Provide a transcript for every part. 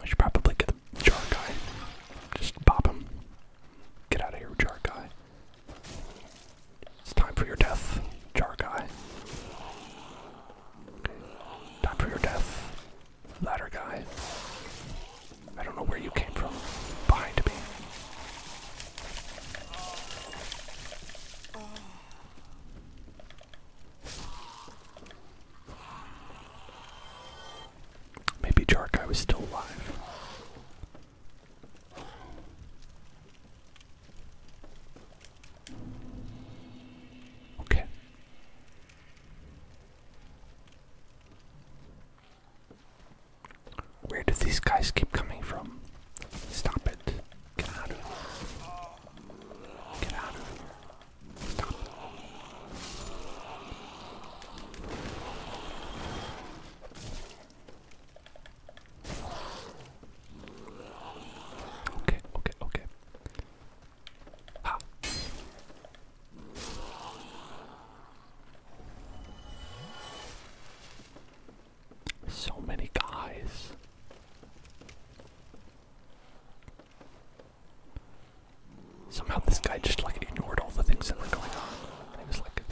I should probably get the jar guy. Just pop him. Get out of here, jar guy. It's time for your death, jar guy. Time for your death, ladder guy. I don't know where you came from. Behind me. Maybe Jarkai was still alive. Okay. Where do these guys keep coming from? Stop it. Get out of here. Get out of here. Stop. Okay, okay, okay. Ha. So many guys. Somehow this guy just like ignored all the things that were going on. He was like,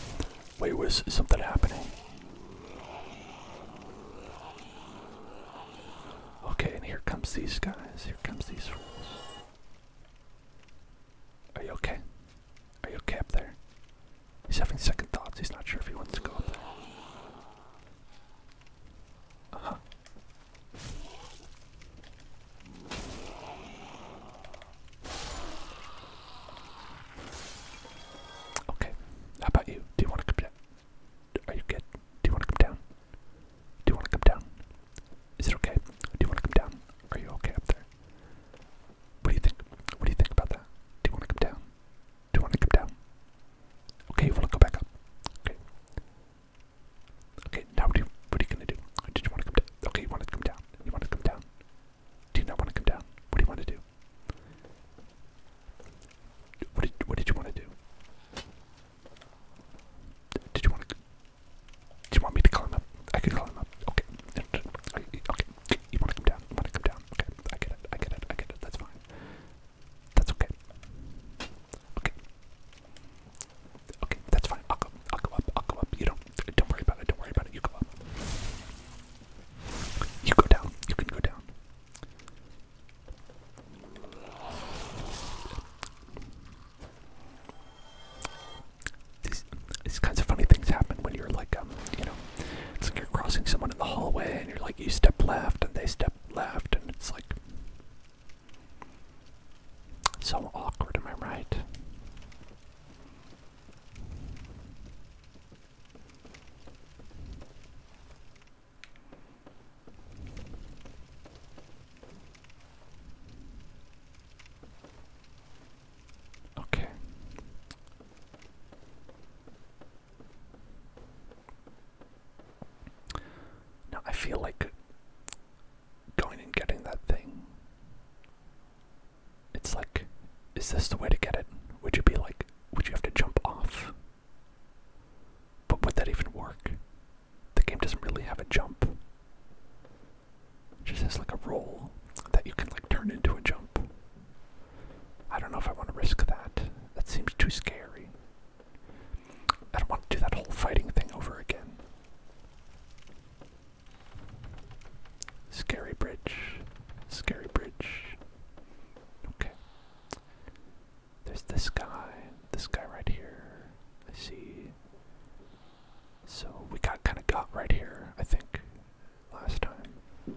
wait, was something happening? Okay, and here comes these guys. Here comes these fools. Are you okay? Are you okay up there? He's having second thoughts. He's not sure if he wants to go up there. Okay. How about you? Do you want to come down? Are you good? Do you want to come down? Do you want to come down? Is it okay? Do you want to come down? Are you okay up there? What do you think? What do you think about that? Do you want to come down? Do you want to come down? Okay, you want to go back up. Okay. Okay, now what are you, what are you going to do? Did you want to come down? Okay, you want to come down. You want to come down. Do you not want to come down? What do you want to do? What did, what did you want to do? Did you want to... Do you want me to call him up? I can call him up. Okay. Okay. You want to come down? You want to come down? Okay. I get it. I get it. I get it. That's fine. That's okay. Okay. Okay, that's fine. I'll go. I'll go up. I'll go up. You don't. Don't worry about it. Don't worry about it. You go up. You go down. You can go down. These, these kinds of funny things happen when you're like, um, you know, it's like you're crossing someone in the hallway and you're like, you step left and they step left, and it's like so awkward, am I right? Okay. Now I feel like going and getting that thing. It's like, is this the way to get it? Would you be like, would you have to jump off? But would that even work? The game doesn't really have a jump. It just has like a roll that you can like turn into a jump. I don't know if I want to risk that. That seems too scary. I don't want to do that whole fighting thing over again. Scary bridge. Scary bridge. Okay. There's this guy. This guy right here. I see. So we got kind of got right here, I think last time. I'm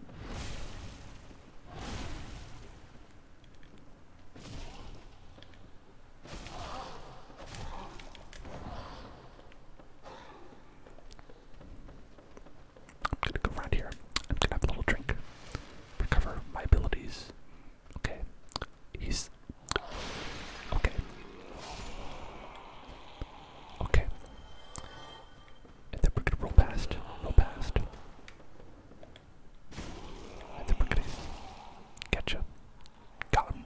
gonna go around here. I'm gonna have a little drink. Recover my abilities. Okay. He's. Okay. Okay. And then we're gonna roll past. Roll past. And then we're gonna catch him. Got him.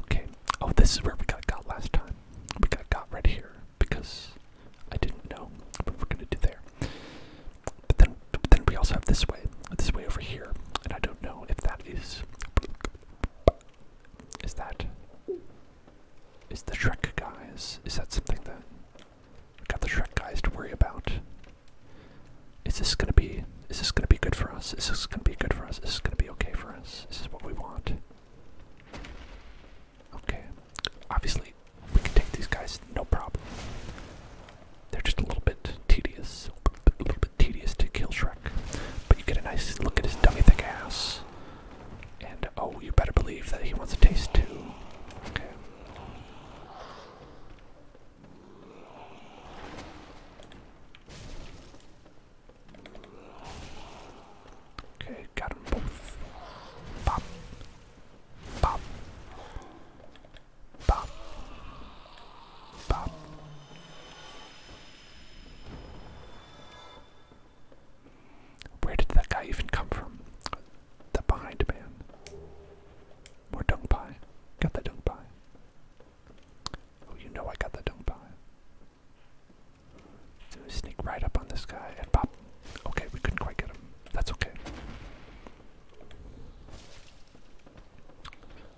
Okay. Oh, this is where we got got last time. We got got right here because I didn't know what we're gonna do there. But then, then we also have this way, this way over here, and I don't know if that is is that. Is the Shrek guys. Is that something that. We've got the Shrek guys to worry about. Is this gonna be. Is this gonna be good for us? Is this gonna be good for us? Is this gonna be okay for us? This Is what we want? Okay. Obviously, we can take these guys no problem. They're just a little bit tedious, a little bit tedious to kill Shrek. But you get a nice look at his dummy thick ass. And oh, you better believe that he wants a taste too. Okay. got them both. Pop. Pop. Bop. Bop. Where did that guy even come from? The behind man. More dung pie. Got the dung pie. Oh, you know I got the dung pie. So we sneak right up on this guy and pop. Okay, we couldn't quite get him. That's okay.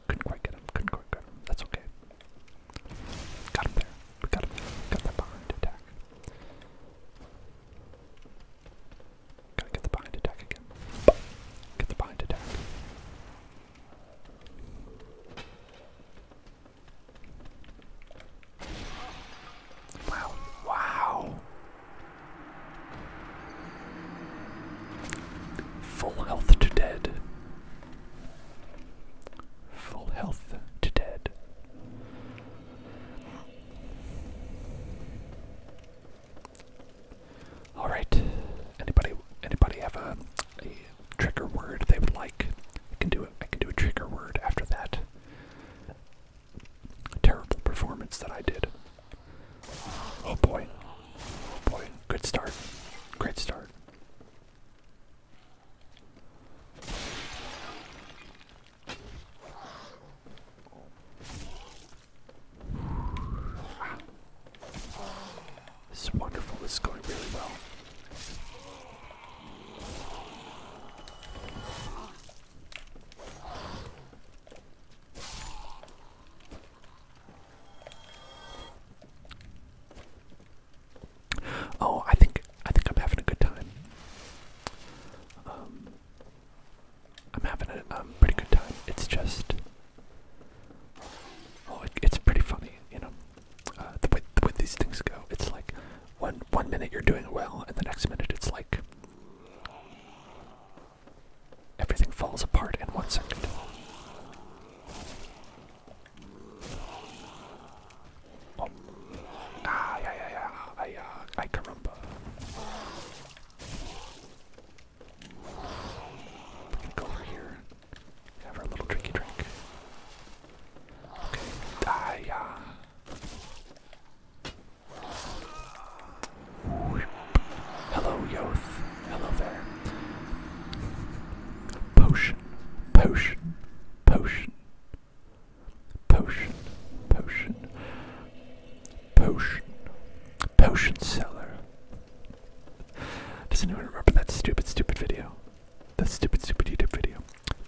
Couldn't quite get him. Couldn't quite get him. That's okay. Got him there. got him Got that behind attack. Gotta get the behind attack again. Get the behind attack. Wow. Wow. Full health to dead. Full health to dead. All right. Anybody? Anybody have a, a trigger word they would like? I can do I can do a trigger word after that terrible performance that I did. Oh boy. Oh boy. Good start. Great start. This is wonderful. This is going really well. Oh, I think I think I'm having a good time. Um, I'm having a um, pretty good time. It's just, oh, it's pretty funny, you know, uh, the way the way these things go. It's like one one minute you're doing well, and the next minute it's like Everything falls apart in one second. Oh. Ah, yeah, yeah, yeah. I, uh, I caramba. We can go over here. Have our little drinky drink. Okay. Ah, yeah. Hello, Yoth. Hello there. Potion, potion, potion, potion, potion, potion, potion seller. Does anyone remember that stupid, stupid video? That stupid, stupid YouTube video.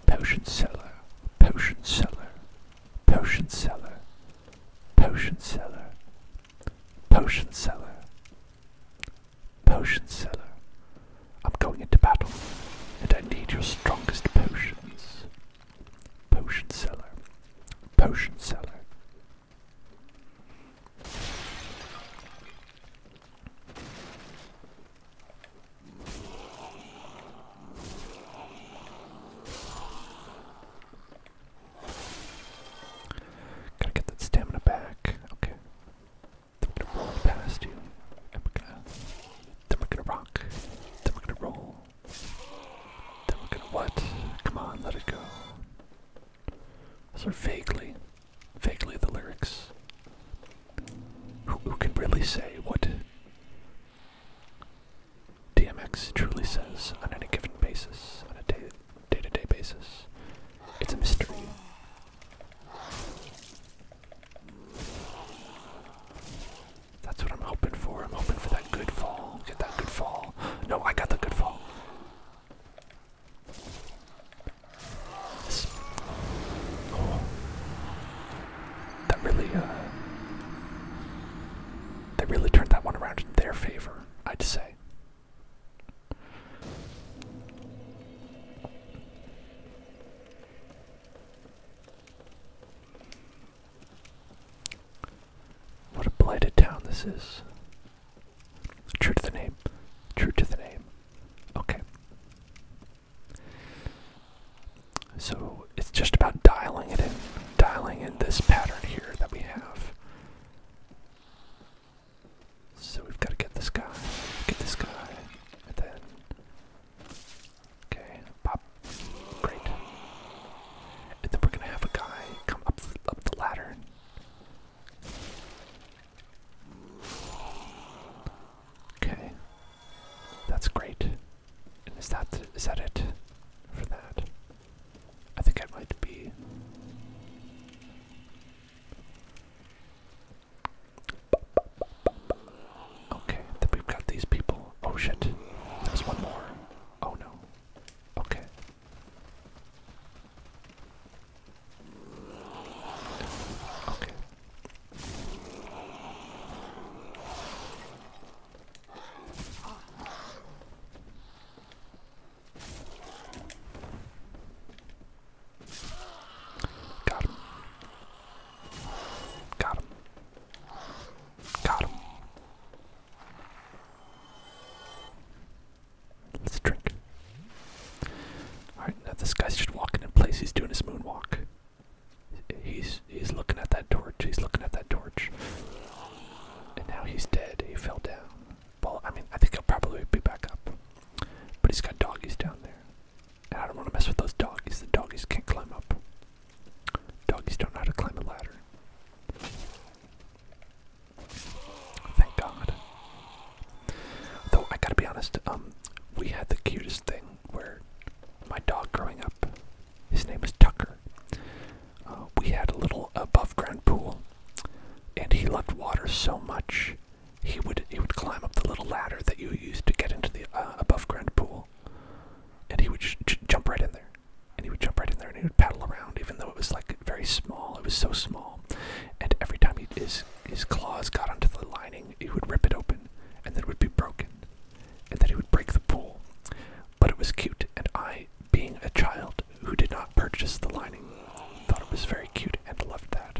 Potion seller, potion seller, potion seller, potion seller, Potion seller. Potion seller. I'm going into battle, and I need your strongest potions. Potion seller. Potion seller. Gotta get that stamina back. Okay. Then we're gonna roll past you. And we're gonna then we're gonna rock. Then we're gonna roll. Then we're gonna what? Come on, let it go. Those are vaguely, vaguely the lyrics. Who, who can really say what DMX truly says on any given basis, on a day, to day basis. It's a mystery. That's what I'm hoping for. I'm hoping for that good fall. Get that good fall. No, I got the good fall. This, oh, really, uh, they really turned that one around in their favor, I'd say. What a blighted town this is. True to the name. True to the name. Okay. So it's just about dialing it in, dialing in this pattern here that we have. So we've got to get this guy, get this guy, and then. Okay, pop. Great. And then we're gonna have a guy come up up the ladder. Okay, that's great. And is that is that it for that? I think I might be. Okay, then we've got these people. Oh shit, there's one more. Oh no. Okay. Okay. Got him. Got him. Got him. Let's drink. Alright, now this guy's just walking in place. He's doing his moonwalk. He's he's looking at that torch. He's looking at that torch. And now he's dead. He fell down. Well, I mean, I think he'll probably be back up. But he's got doggies down there. And I don't want to mess with those doggies. The doggies can't climb up. Doggies don't know how to climb a ladder. Thank God. Though I gotta be honest, um, we had the cutest thing where my dog growing up his name is Tucker. Uh, we had a little above ground pool, and he loved water so much he would he would climb up the little ladder that you used to get into the uh, above ground pool, and he would jump right in there, and he would jump right in there, and he would paddle around, even though it was like very small. It was so small, and every time his his claws got onto the lining, he would rip it open, and then it would be broken, and then he would break the pool. But it was cute, and I being a child who did not purchase the lining, thought it was very cute and loved that.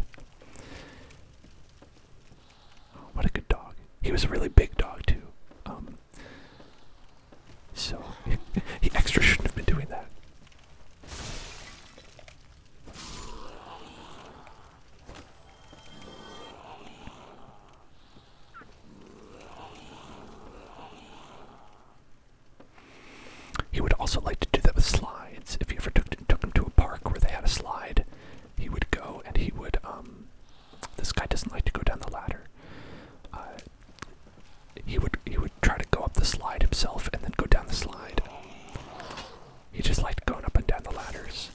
what a good dog. He was a really big dog, too. Um, so, he extra shouldn't have been doing that. He would also like to do that with slides. If he ever took, took him to a park where they had a slide, he would go and he would. Um, this guy doesn't like to go down the ladder. Uh, he would he would try to go up the slide himself and then go down the slide. He just liked going up and down the ladders.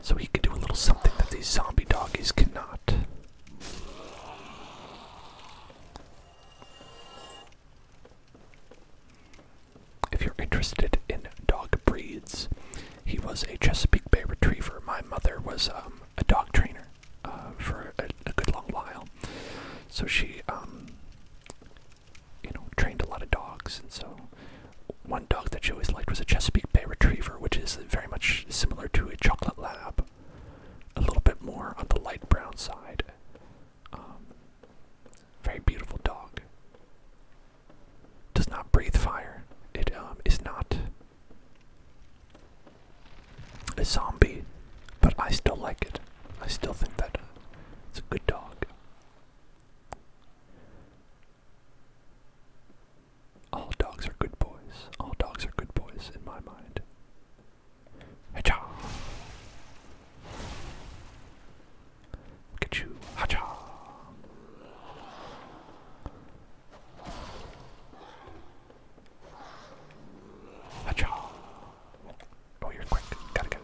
So he can do a little something that these zombie doggies cannot. If you're interested in dog breeds, he was a Chesapeake Bay Retriever. My mother was um, a dog trainer uh, for a, good long while, so she, um, you know, trained a lot of dogs, and so one dog that she always liked was a Chesapeake Bay Retriever, which is very much similar to a chocolate lab, a little bit more on the light brown side. Um, very beautiful dog. Does not breathe fire. It um, is not a zombie, but I still like it. I still think that uh, it's a good dog. All dogs are good boys. All dogs are good boys in my mind. Hacha! Look Hacha! Hacha! Oh, you're quick. Gotta go.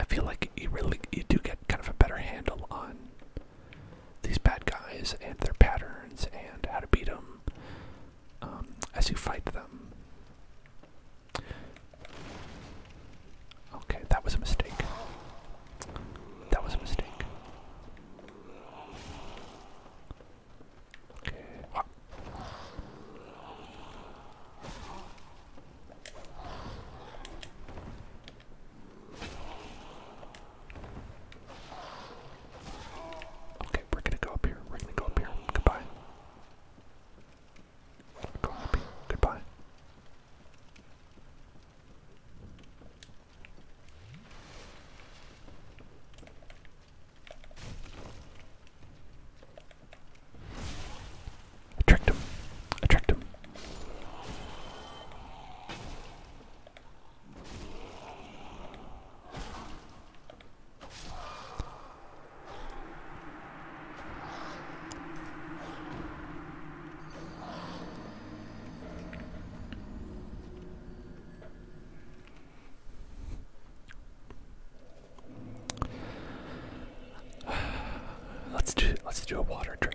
I, feel like you really you do get kind of a better handle on these bad guys and their patterns and how to beat them um, as you fight them. Okay, that was a mistake. That was a mistake. Okay. Okay, we're gonna go up here. We're gonna go up here. Goodbye. Go Goodbye. I tricked him. I tricked him. Let's do let's do a water drink.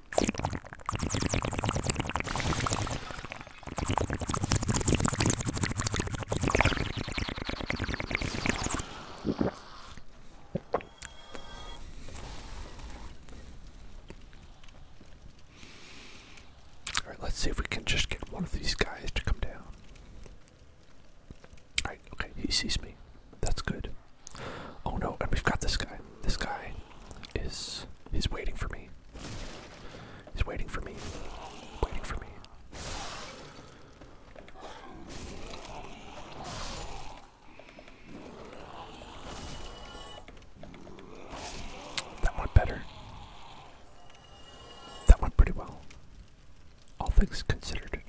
All right, let's see if we can just get one of these guys to come down. All right, okay, he sees me. That's good. Oh no, and we've got this guy. This guy is he's waiting for me. He's waiting for me. Waiting for me. That went better. That went pretty well. All things considered.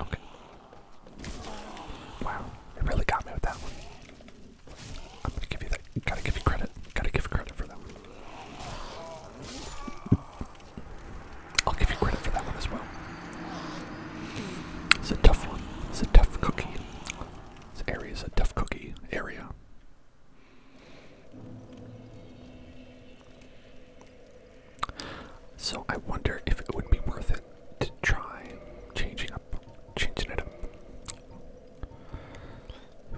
Okay. Wow, it really got me with that one. I'm gonna give you that. Gotta give you credit. Gotta give credit for that I'll give you credit for that one as well. It's a tough one. It's a tough cookie. This area is a tough cookie area. So I wonder if it would be worth it to try changing up, changing it up.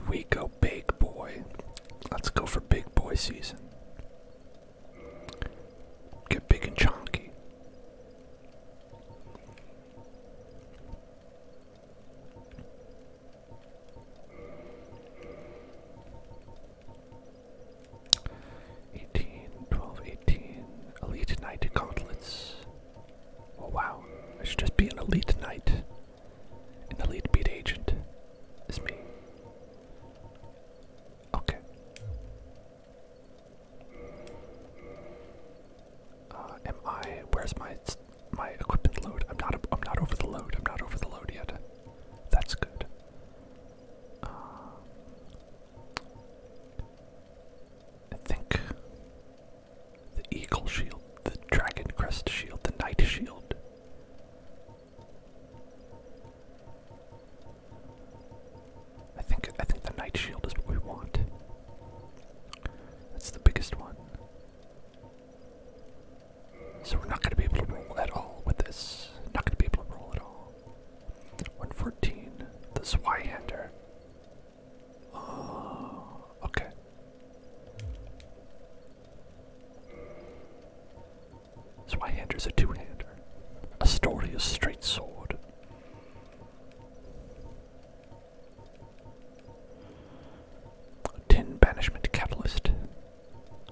we go big boy, let's go for big boy season. Get big and chunky. 18, Elite Knight Gauntlets. Oh wow, I should just be an Elite Knight. An Elite Beat Agent is me. Okay. Uh, am I? Where's my my equipment load? I'm not. I'm not over the load. I'm not over the load yet. That's good. Uh, I think the eagle shield, the dragon crest shield, the knight shield. I think I think the knight shield is what we want. That's the biggest one. So we're not going to be able to roll at all with this. Not going to be able to roll at all. 114, the Zweihander. Oh, okay. Zweihander is a two-hander. A story Astoria's straight sword. Ten banishment catalyst.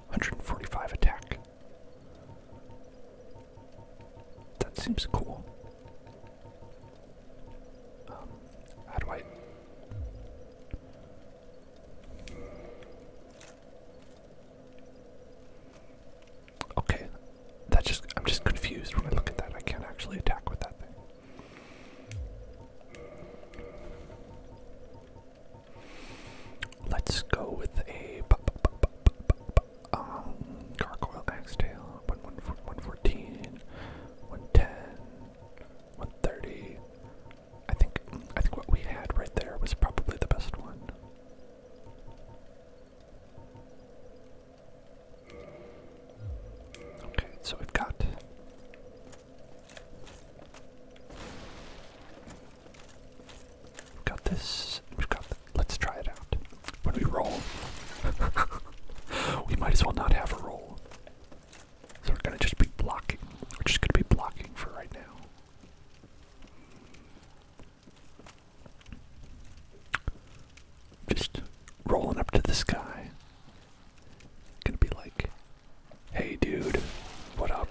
145 attack. That seems cool. Um, how do I? Okay, that just I'm just confused when I look at that. I can't actually attack with that thing. Let's go with a um, gargoyle axe tail. I think I think what we had right there was probably the best one. Okay, so we've got We've got this. We've got. Th Let's try it out. When we roll, we might as well not have a roll. So we're gonna just be blocking. We're just gonna be blocking for right now. Just rolling up to this guy. Gonna be like, hey dude, what up?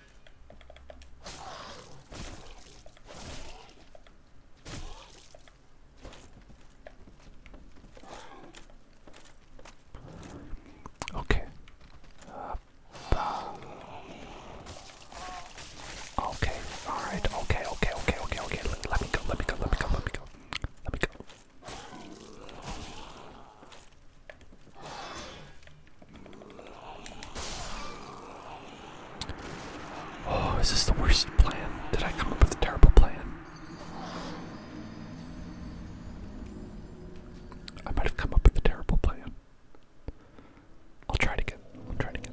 Okay. okay. All right. Okay. Okay. Okay. Okay. Okay. let me go. Let me go. Let me go. Let me go. Let me go. Oh, is this the worst plan? Did I come up with a terrible plan? I might have come up with a terrible plan. I'll try it again. I'll try it again.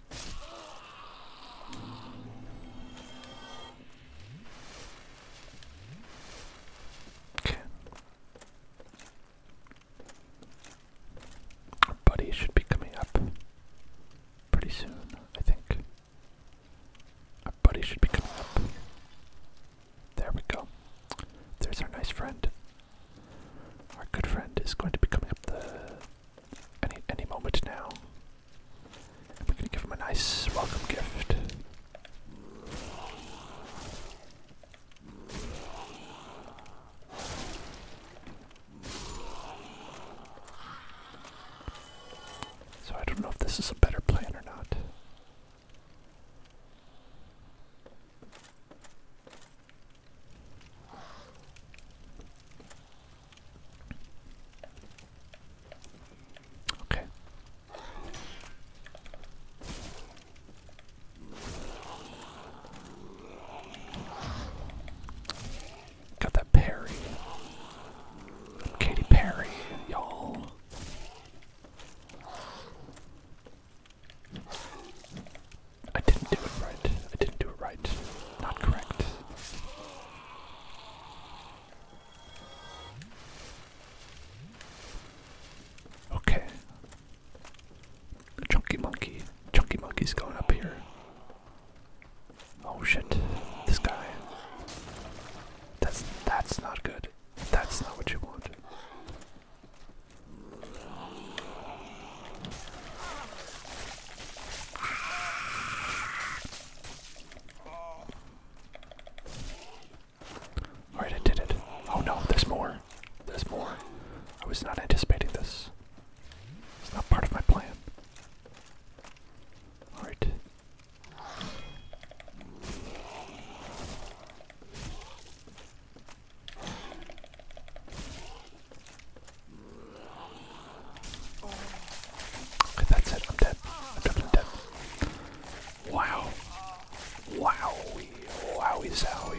Our buddy should be coming up pretty soon, I think. Our buddy should be coming up. There we go. There's our nice friend. Our good friend is going to be coming up there any any moment now. And we're gonna give him a nice welcome gift. So I don't know if this is a better plan or not. Okay. Got that Perry. Katy Perry, y'all. I didn't do it right. I didn't do it right. Not correct. Okay. Chunky monkey. Chunky monkey's going up here. Oh shit. This guy. That's that's not good. That's not what you want. Alright, I did it. Oh no, there's more. There's more. I was not anticipating this. It's not part of my plan. Alright. Okay, that's it. I'm dead. I'm definitely dead. Wow. Wowie. Wowie zowie.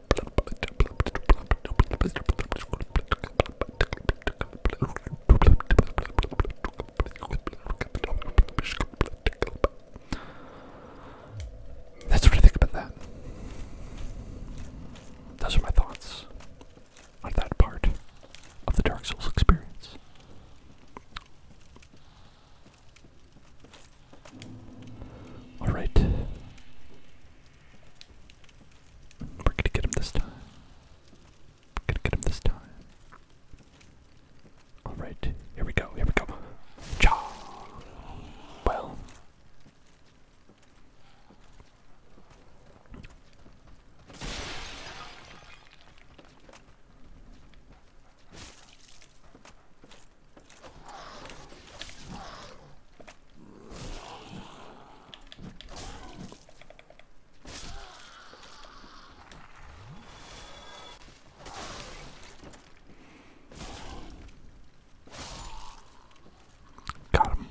That's what I think about that. Those are my thoughts on that part of the Dark Souls experience. Alright. We're gonna get him this time. gonna get him this time. Alright, here we go, here we go. Cha! Well. Got him.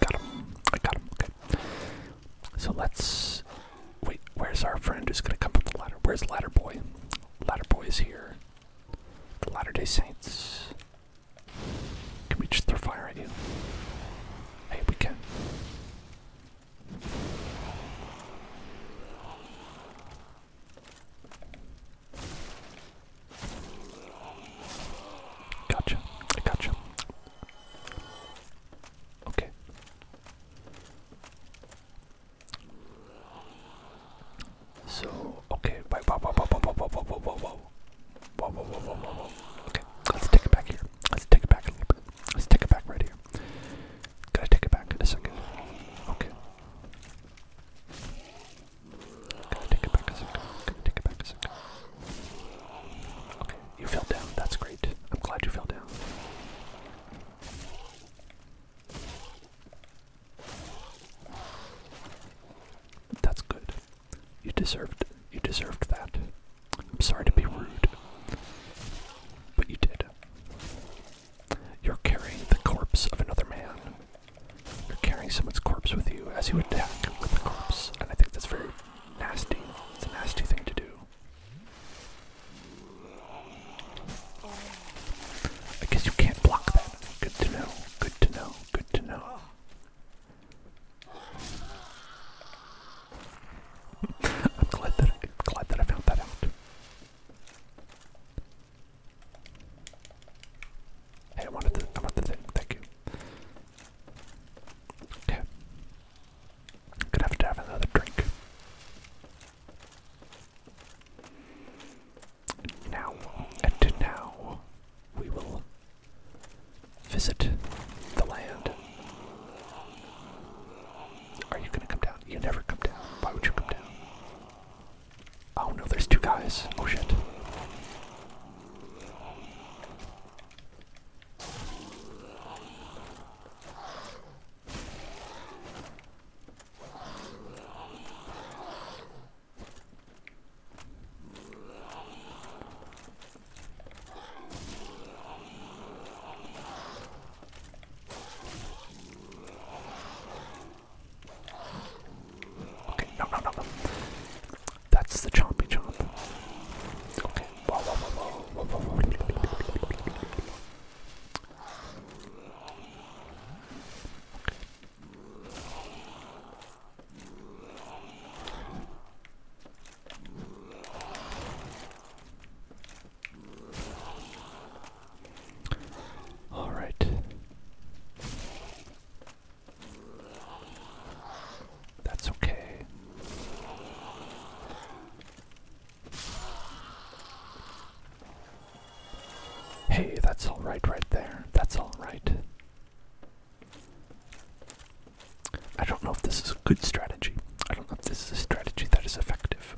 Got him. I got him. Okay. So let's. Wait, where's our friend who's gonna come from the ladder? Where's Ladder Boy? Ladder Boy is here. The Latter day Saints. Can we just throw fire at you? Hey, we can. Gotcha. gotcha. Okay. So okay, wait, whoa, whoa, whoa, whoa, whoa, whoa, whoa, whoa, whoa. Whoa, whoa, whoa, whoa, whoa, whoa. Okay, let's take it back here. Let's take it back a little bit. Let's take it back right here. Gotta take it back in a second. Okay. Gotta take it back a second. Gotta take it back a second. Okay, you fell down. That's great. I'm glad you fell down. That's good. You deserved you deserved that. I'm sorry to be rude. But you did. You're carrying the corpse of another man. You're carrying someone's corpse with you as you attack with the corpse, and I think that's very nasty. It's a nasty thing to do. I guess you can't block that. Good to know. Good to know. Good to know. I'm glad that I, found that out. Hey, I wanted to. I wanted to. Thank you. Okay. Gonna to have another drink. Now, and now, we will visit the land. Are you gonna come down? You never come down. Why would you come down? Oh no, there's two guys. Oh shit. Okay, no, no, no, no. That's the chompy chomp. Okay. Whoa, whoa, whoa, whoa, whoa, whoa. Okay. All right. That's okay. Hey, that's all right right there. That's all right. I don't know if this is a good strategy. I don't know if this is a strategy that is effective.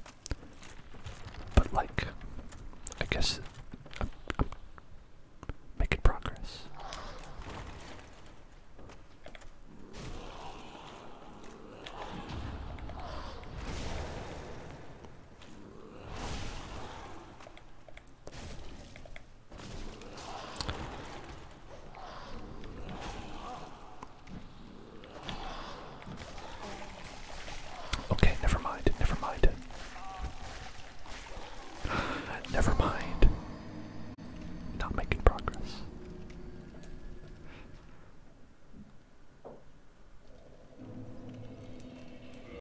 But, like, I guess I'm, making progress. Okay, never mind, never mind. Never mind. Not making progress.